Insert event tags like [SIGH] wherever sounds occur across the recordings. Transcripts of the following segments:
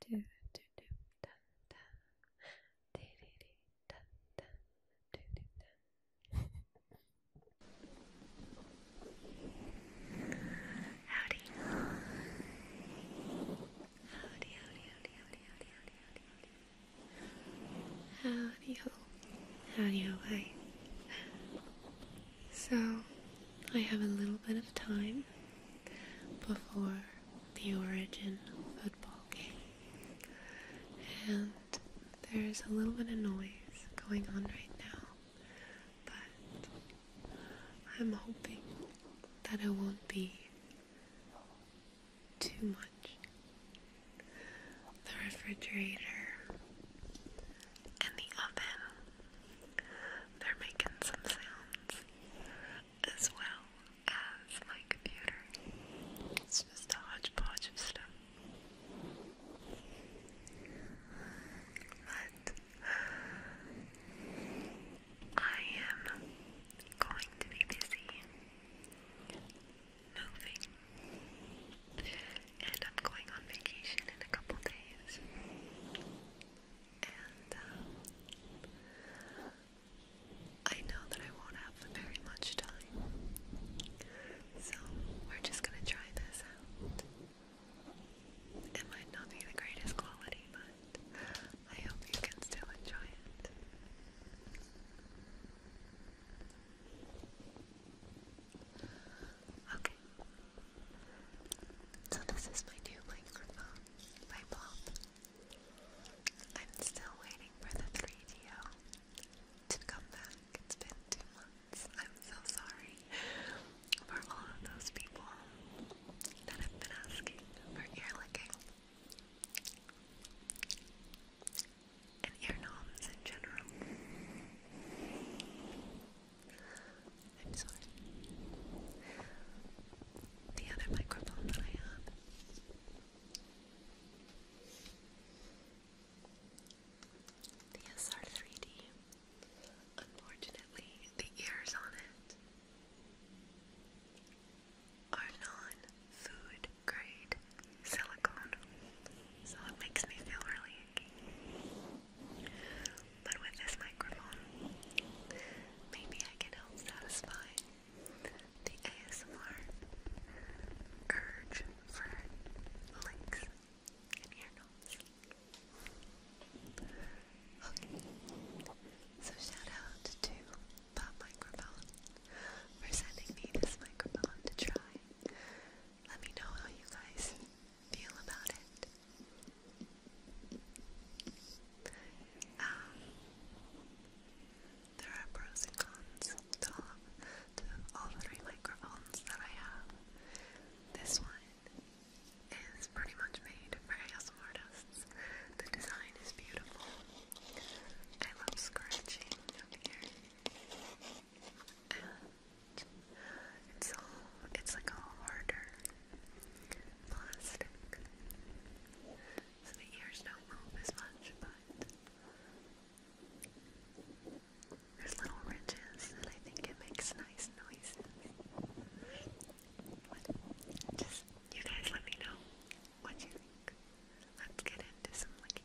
do do do dun dun dee dee dee dun dun do do dun. Howdy. Howdy, howdy, howdy, howdy, howdy, howdy, howdy, howdy. Howdy ho. Howdy ho, hi. So, I have a little bit of time before the origin football game. And there's a little bit of noise going on right now, but I'm hoping that it won't be too much. The refrigerator and the oven they're making some sounds as well as my computer. It's just a hodgepodge of stuff. But I am going to be busy moving, and I'm going on vacation in a couple days and um, I know that I won't have very much time, so we're just gonna try this out. It might not be the greatest quality, but I hope you can still enjoy it. Okay. So this is my new microphone by Blob. I'm still waiting for the 3 d to come back. It's been two months. I'm so sorry for all of those people that have been asking for ear licking and ear knobs in general. I'm sorry. The other microphone that I have. The SR3D. Unfortunately, the ears on it are non food grade silicone, so it makes me feel really but with this microphone, maybe I can help satisfy the ASMR urge for links and ear knobs. so shout out to Pop Microphone for sending me this microphone to try. Let me know how you guys feel about it. Um, there are pros and cons to all, three microphones that I have. This one is pretty much made for ASMR The design is beautiful. I love scratching up here it's all it's like all harder plastic. So the ears don't move as much, but there's little ridges and I think it makes nice noises. just you guys let me know what you think. Let's get into some licking.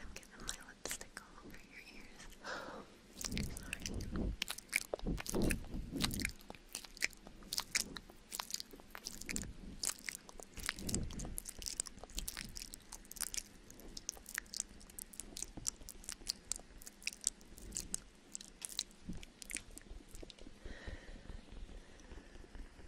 I'm getting my lipstick all over your ears. Sorry.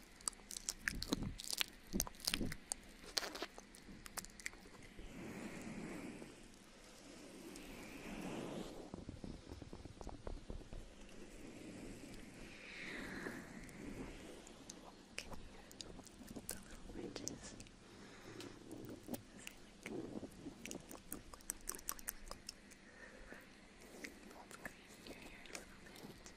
the little ridges. Hold the crease in your hair a little bit.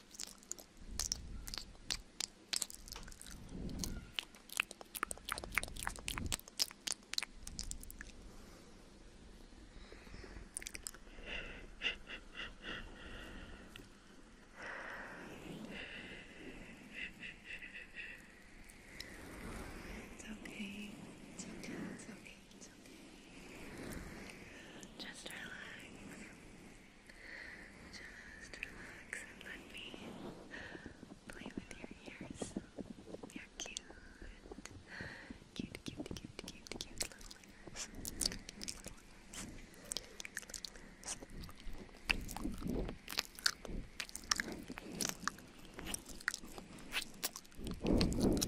It's okay. It's okay. It's okay. It's okay. Just relax. Just relax and let me play with your ears. You're cute. Cute, cute, cute, cute, cute little ears. little ears. Little ears. Just relax,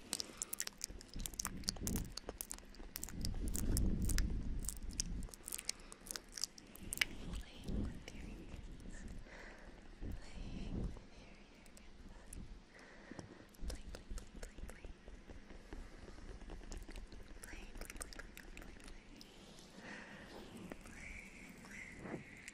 Playing with your ears. Playing with your ears. Play, play, play, play, play. Play, play, play, play, play, play. play, play.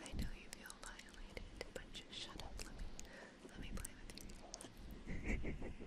I know you feel violated, but just shut up. Let me let me play with you.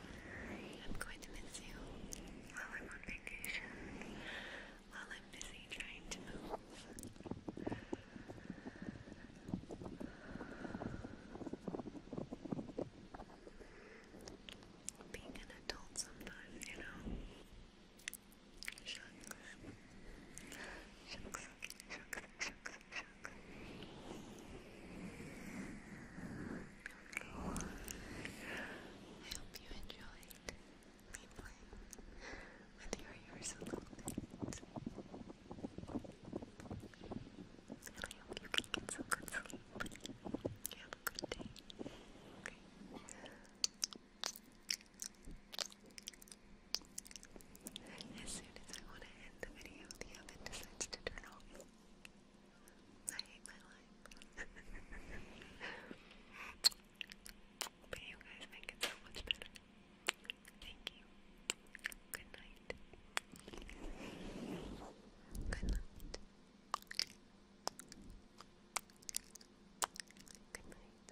I'm going to miss you while I'm on vacation, while I'm busy trying to move. Being an adult sometimes, you know. Shucks. Shucks, shucks, shucks, I hope you enjoyed me playing with your ears a little bit. And I hope you can get some good sleep. You have a good day. As soon as I want to end the video, the oven decides to turn off. I hate my life. [LAUGHS] but you guys make it so much better. Thank you. Good night. Good night. Good night.